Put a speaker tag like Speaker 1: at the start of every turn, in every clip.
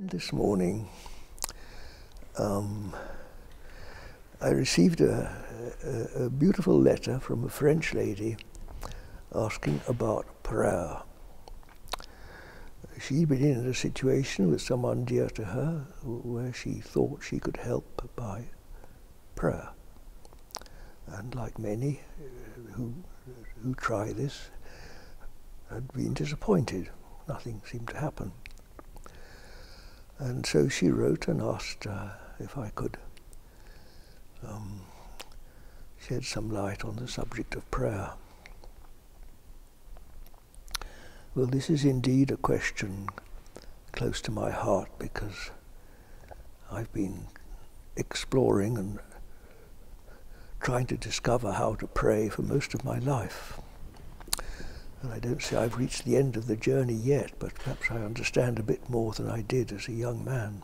Speaker 1: This morning, um, I received a, a, beautiful letter from a French lady asking about prayer. She'd been in a situation with someone dear to her where she thought she could help by prayer. And like many uh, who who try this had been disappointed. Nothing seemed to happen. And so she wrote and asked uh, if I could um, shed some light on the subject of prayer. Well, this is indeed a question close to my heart because I've been exploring and trying to discover how to pray for most of my life. And I don't say I've reached the end of the journey yet, but perhaps I understand a bit more than I did as a young man.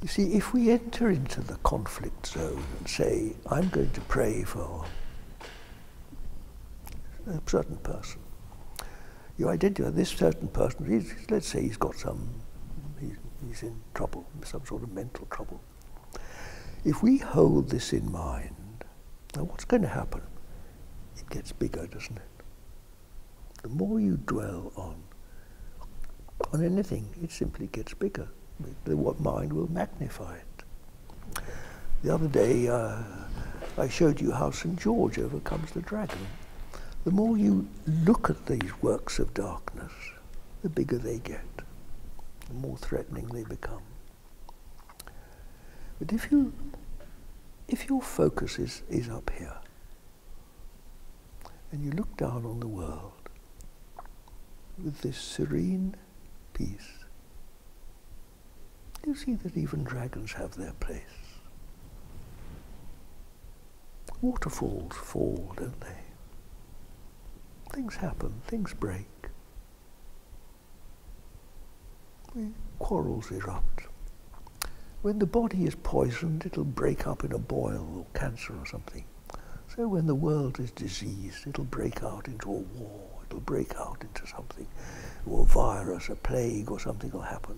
Speaker 1: You see, if we enter into the conflict zone and say, I'm going to pray for a certain person, you identify this certain person, let's say he's got some, trouble, some sort of mental trouble. If we hold this in mind, now what's going to happen? It gets bigger, doesn't it? The more you dwell on, on anything, it simply gets bigger. The mind will magnify it. The other day, uh, I showed you how St. George overcomes the dragon the more you look at these works of darkness, the bigger they get, the more threatening they become. But if you if your focus is, is up here and you look down on the world with this serene peace, you see that even dragons have their place. Waterfalls fall, don't they? Things happen, things break. Quarrels erupt. When the body is poisoned, it'll break up in a boil or cancer or something. So when the world is diseased, it'll break out into a war, it'll break out into something, a virus, a plague or something will happen.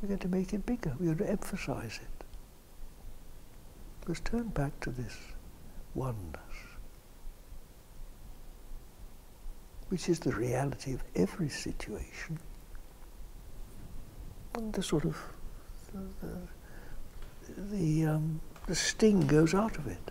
Speaker 1: We're going to make it bigger. We're going to emphasize it. Let's turn back to this oneness, which is the reality of every situation. And the sort of the, the, um, sting goes out of it.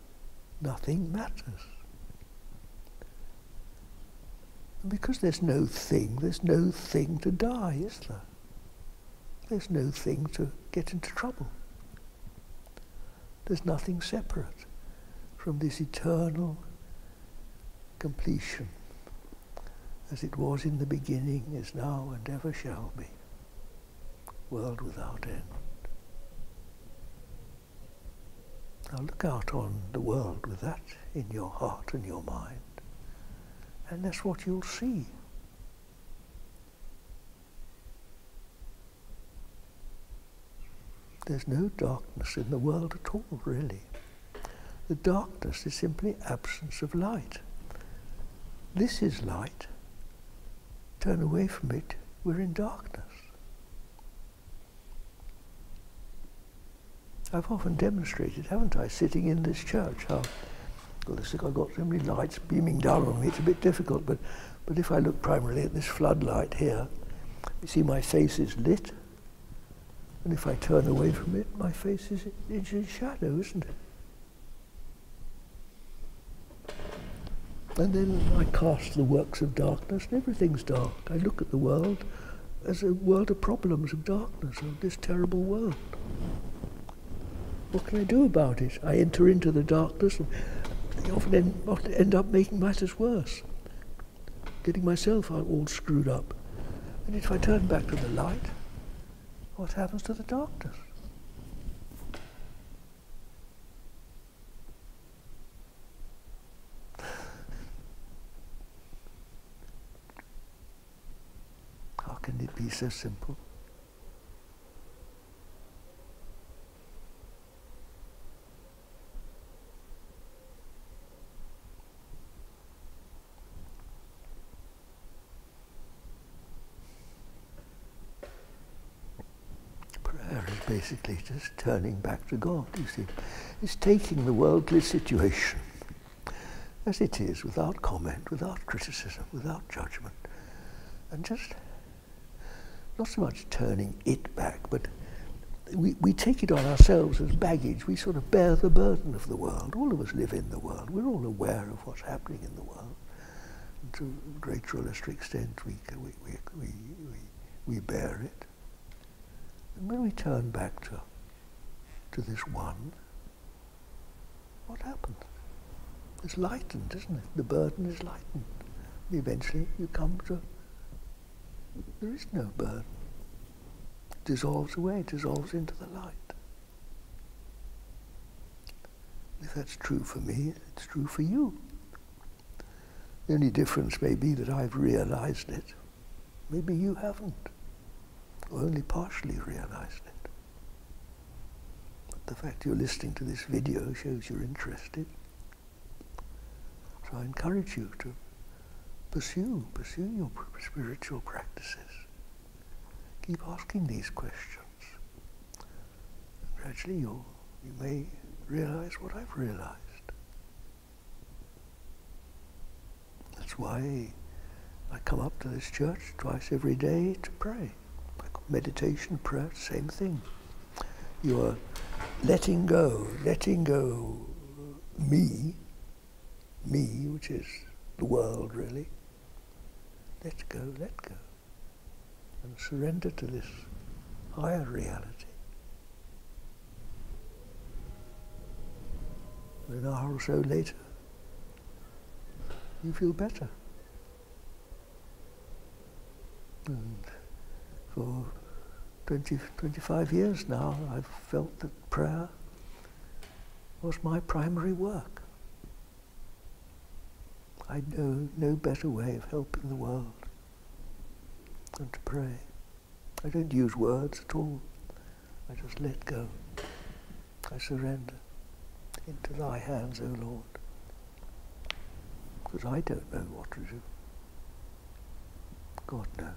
Speaker 1: nothing matters. because there's no thing, there's no thing to die, is there? There's no thing to get into trouble. There's nothing separate from this eternal completion, as it was in the beginning, is now, and ever shall be, world without end. Now look out on the world with that in your heart and your mind, and that's what you'll see. There's no darkness in the world at all, really. The darkness is simply absence of light. This is light, turn away from it, we're in darkness. I've often demonstrated, haven't I, sitting in this church, how, well, this, I've got so many lights beaming down on me, it's a bit difficult, but, but if I look primarily at this floodlight here, you see my face is lit, and if I turn away from it, my face is in shadow, isn't it? And then I cast the works of darkness, and everything's dark. I look at the world as a world of problems, of darkness, of this terrible world. What can I do about it? I enter into the darkness and I often end, often end up making matters worse, getting myself all screwed up. And if I turn back to the light, what happens to the darkness? How can it be so simple? Prayer is basically just turning back to God, you see. It's taking the worldly situation as it is, without comment, without criticism, without judgment, and just not so much turning it back, but we, we take it on ourselves as baggage. We sort of bear the burden of the world. All of us live in the world. We're all aware of what's happening in the world. to greater or lesser extent, we, we we, bear it. And when we turn back to, to this one, what happens? It's lightened, isn't it? The burden is lightened. And eventually you come to, there is no burden. It dissolves away, It dissolves into the light. If that's true for me, it's true for you. The only difference may be that I've realized it. Maybe you haven't, or only partially realized it. But the fact you're listening to this video shows you're interested. So I encourage you to pursue, pursue your spiritual practices. Keep asking these questions. Gradually you you may realize what I've realized. That's why I come up to this church twice every day to pray. Meditation, prayer, same thing. You are letting go, letting go me, me, which is the world really. Let go, let go and surrender to this higher reality. An hour or so later, you feel better. And for 20, 25 years now, I've felt that prayer was my primary work. I know no better way of helping the world than to pray. I don't use words at all. I just let go. I surrender into thy hands, O Lord, because I don't know what to do. God knows.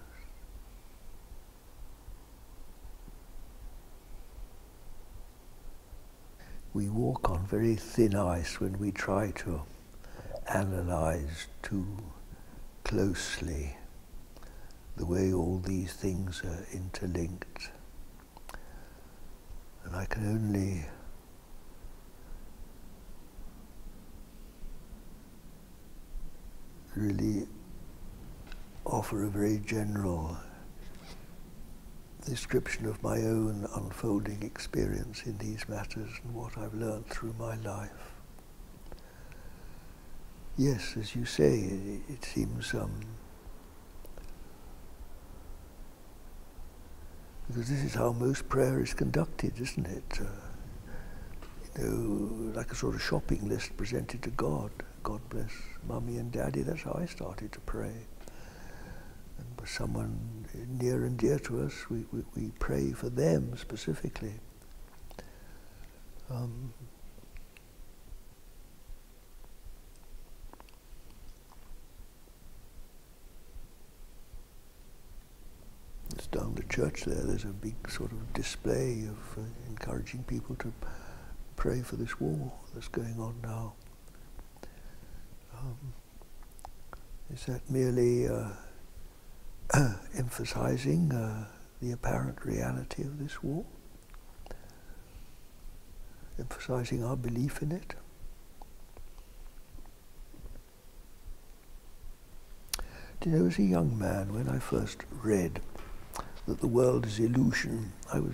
Speaker 1: We walk on very thin ice when we try to analyze too closely the way all these things are interlinked. And I can only really offer a very general description of my own unfolding experience in these matters and what I've learned through my life. Yes, as you say, it, seems um, because this is how most prayer is conducted, isn't it? Uh, you know, like a sort of shopping list presented to God. God bless mommy and daddy. That's how I started to pray and was someone near and dear to us. We, we, pray for them specifically. Um, it's down the church there, there's a big sort of display of uh, encouraging people to pray for this war that's going on now. Um, is that merely uh, emphasizing uh, the apparent reality of this war? Emphasizing our belief in it? Do you know, as a young man, when I first read that the world is illusion, I was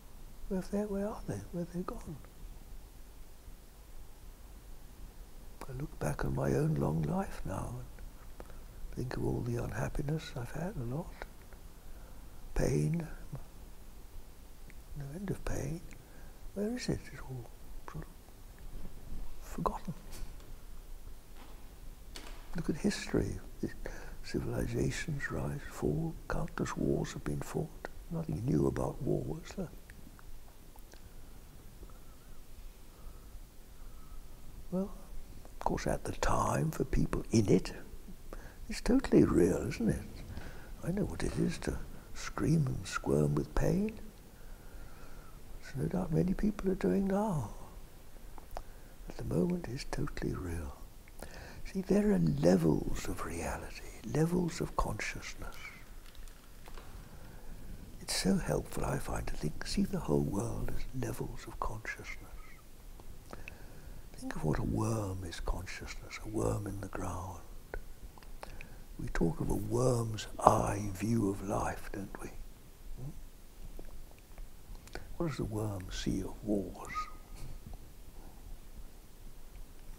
Speaker 1: Where are they? where are they? Where are they gone? I look back on my own long life now and think of all the unhappiness I've had a lot, pain, no end of pain. Where is it? It's all forgotten. Look at history. civilizations rise, fall, Countless wars have been fought. Nothing new about war was there. Well, of course, at the time, for people in it, it's totally real, isn't it? I know what it is to scream and squirm with pain. It's no doubt many people are doing now. At the moment, it's totally real. See, there are levels of reality, levels of consciousness. It's so helpful, I find, to think, see the whole world as levels of consciousness. Think of what a worm is consciousness, a worm in the ground. We talk of a worm's eye view of life, don't we? Hmm? What does the worm see of wars?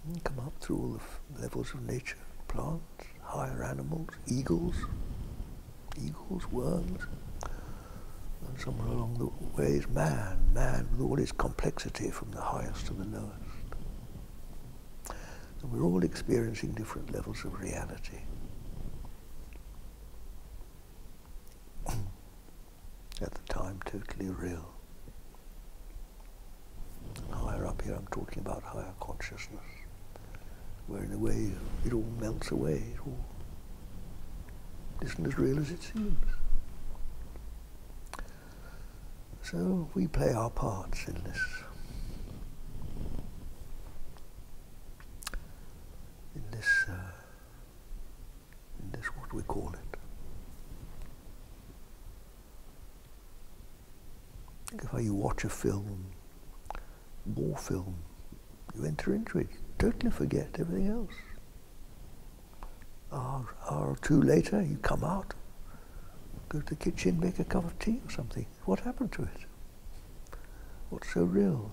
Speaker 1: Hmm, come up through all the levels of nature, plants, higher animals, eagles, eagles, worms, and somewhere along the way is man, man with all his complexity from the highest to the lowest. And we're all experiencing different levels of reality. at the time totally real. Higher up here I'm talking about higher consciousness, where in a way it all melts away, it all isn't as real as it seems. So we play our parts in this. In this uh, and that's what we call it. Think of how you watch a film, war film, you enter into it, totally forget everything else. Hour, hour or two later, you come out, go to the kitchen, make a cup of tea or something. What happened to it? What's so real?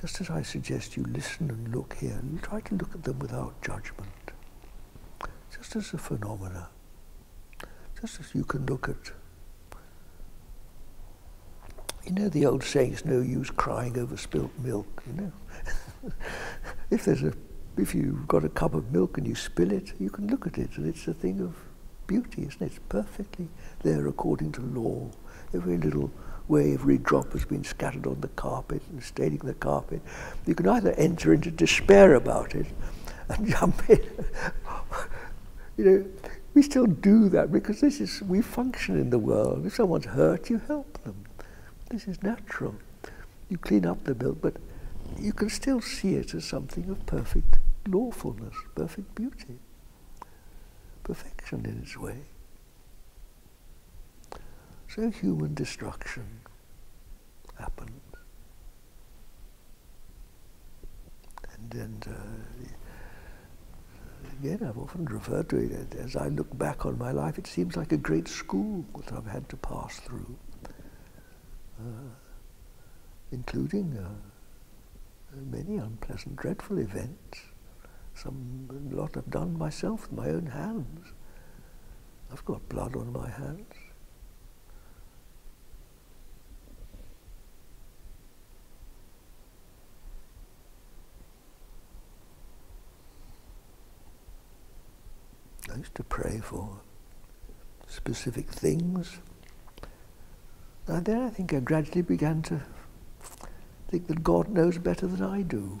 Speaker 1: just as I suggest you listen and look here and try to look at them without judgment, just as a phenomena, just as you can look at. You know the old saying, it's no use crying over spilt milk, you know. if there's a if you've got a cup of milk and you spill it, you can look at it and it's a thing of beauty, isn't it? It's perfectly there according to law. Every little way, every drop has been scattered on the carpet staining the carpet. You can either enter into despair about it and jump in. you know, we still do that because this is, we function in the world. If someone's hurt, you help them. This is natural. You clean up the bill, but you can still see it as something of perfect lawfulness, perfect beauty, perfection in its way. So human destruction happened. And, uh, again, I've often referred to it as I look back on my life, it seems like a great school that I've had to pass through, uh, including uh, many unpleasant, dreadful events. Some lot I've done myself with my own hands. I've got blood on my hands. I used to pray for specific things. And then I think I gradually began to think that God knows better than I do.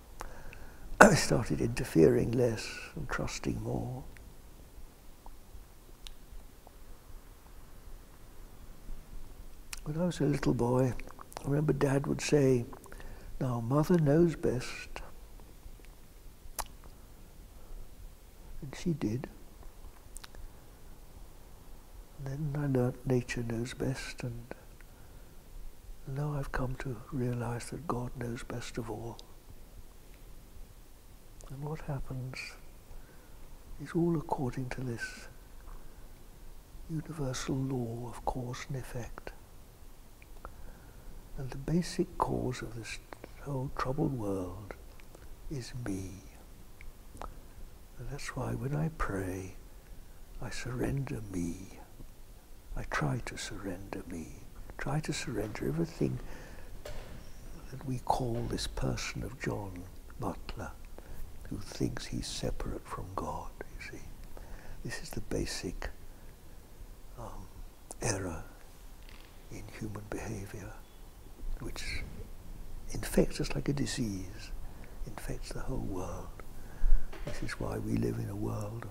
Speaker 1: I started interfering less and trusting more. When I was a little boy, I remember Dad would say, now mother knows best. And she did. then I learnt nature knows best and now I've come to realize that God knows best of all. And what happens is all according to this universal law of cause and effect. And the basic cause of this whole troubled world is me. And that's why when I pray, I surrender me. I try to surrender me, try to surrender everything that we call this person of John Butler, who thinks he's separate from God, you see. This is the basic um, error in human behavior, which infects us like a disease, infects the whole world. This is why we live in a world of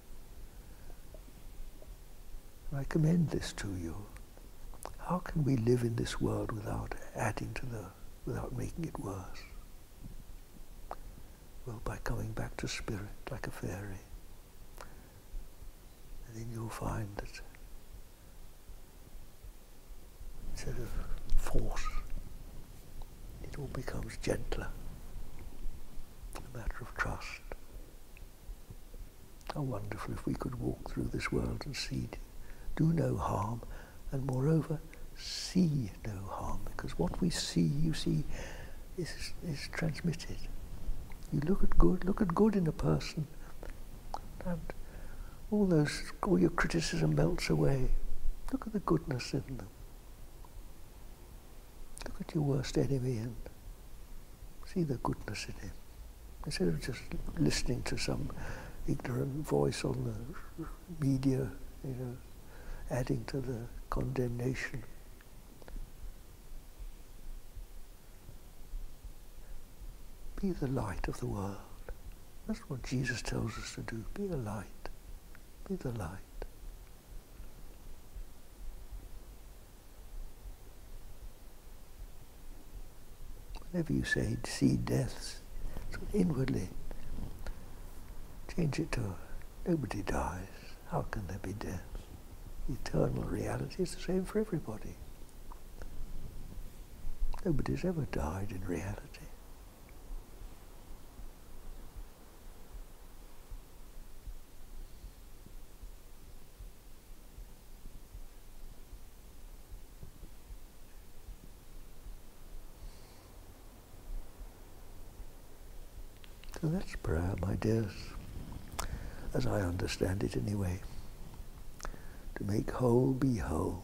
Speaker 1: I commend this to you. How can we live in this world without adding to the, without making it worse? Well, by coming back to spirit like a fairy. And then you'll find that instead of force, it all becomes gentler a matter of trust. How wonderful if we could walk through this world and see, do no harm, and moreover, see no harm, because what we see, you see, is, is transmitted. You look at good, look at good in a person, and all those, all your criticism melts away. Look at the goodness in them. Look at your worst enemy and see the goodness in him. Instead of just listening to some ignorant voice on the media, you know, adding to the condemnation. Be the light of the world. That's what Jesus tells us to do. Be a light. Be the light. Whenever you say see deaths, inwardly change it to nobody dies. How can there be death? Eternal reality is the same for everybody. Nobody's ever died in reality. So that's prayer, my dears, as I understand it anyway. To make whole be whole.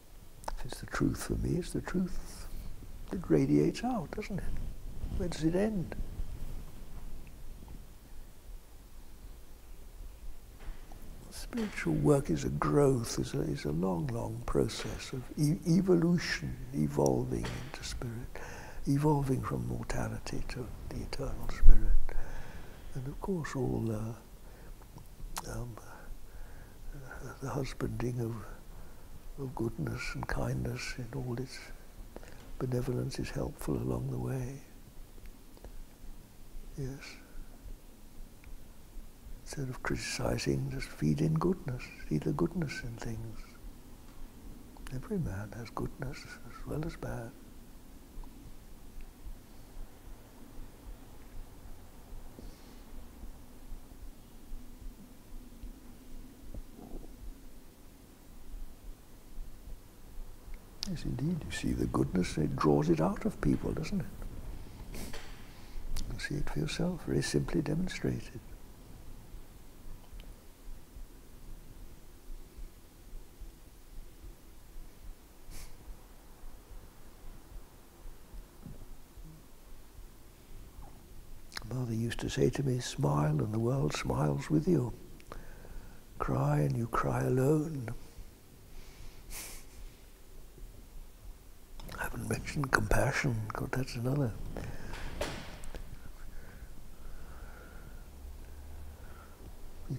Speaker 1: If it's the truth for me, it's the truth that radiates out, doesn't it? Where does it end? Spiritual work is a growth, is a, long, long process of evolution, evolving into spirit, evolving from mortality to the eternal spirit. And of course all uh, um, the husbanding of, goodness and kindness in all its benevolence is helpful along the way. Yes. Instead of criticizing, just feed in goodness, Feed the goodness in things. Every man has goodness as well as bad. Yes, indeed. You see the goodness, it draws it out of people, doesn't it? You see it for yourself, very simply demonstrated. Mother used to say to me, smile and the world smiles with you. Cry and you cry alone. I haven't mentioned compassion, God, that's another.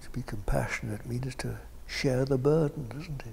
Speaker 1: To be compassionate means to share the burden, doesn't it?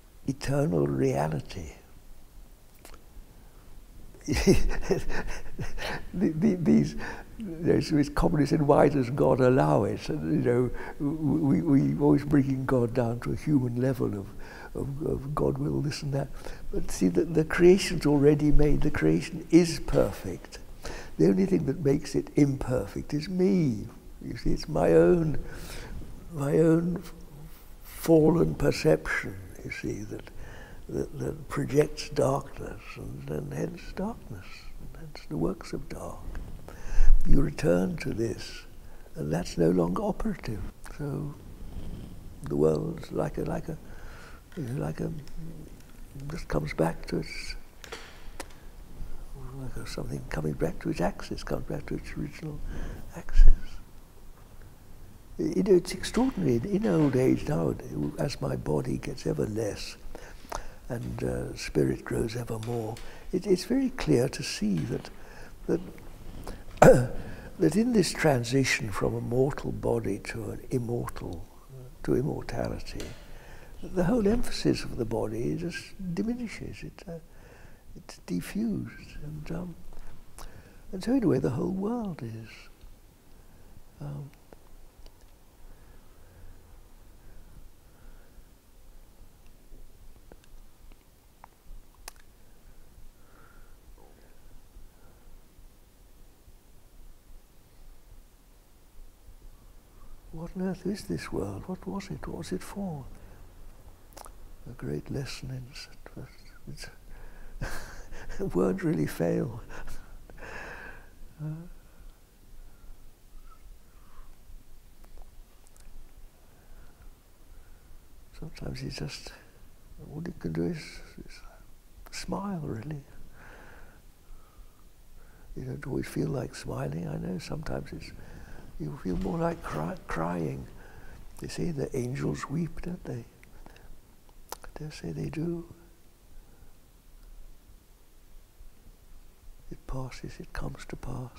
Speaker 1: eternal reality. These, there's, it's commonly said, why does God allow it? And, you know, we, we always bringing God down to a human level of, of, God will this and that. But see, the, the creation's already made. The creation is perfect. The only thing that makes it imperfect is me. You see, it's my own, my own fallen perception, you see, that, that, projects darkness, and, and hence darkness, and hence the works of dark. You return to this, and that's no longer operative. So the world's like a, like a, like a, just comes back to its, like a, something coming back to its axis, coming back to its Access. You know, it's extraordinary. In old age now, as my body gets ever less and uh, spirit grows ever more, it's very clear to see that, that, that in this transition from a mortal body to an immortal, to immortality, the whole emphasis of the body just diminishes. Uh, it's diffused. And, um, and so, in a way, the whole world is. Um, what on earth is this world? What was it? What was it for? a great lesson in it. won't really fail. sometimes he just, all you can do is, is smile, really. You don't always feel like smiling, I know, sometimes it's you feel more like crying. They say the angels weep, don't they? I dare say they do. It passes, it comes to pass.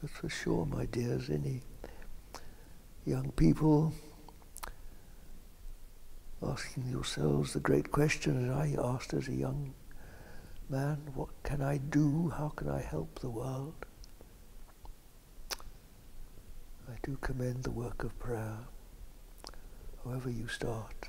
Speaker 1: But for sure, my dear Zinni young people, asking yourselves the great question that I asked as a young man, what can I do? How can I help the world? I do commend the work of prayer, however you start.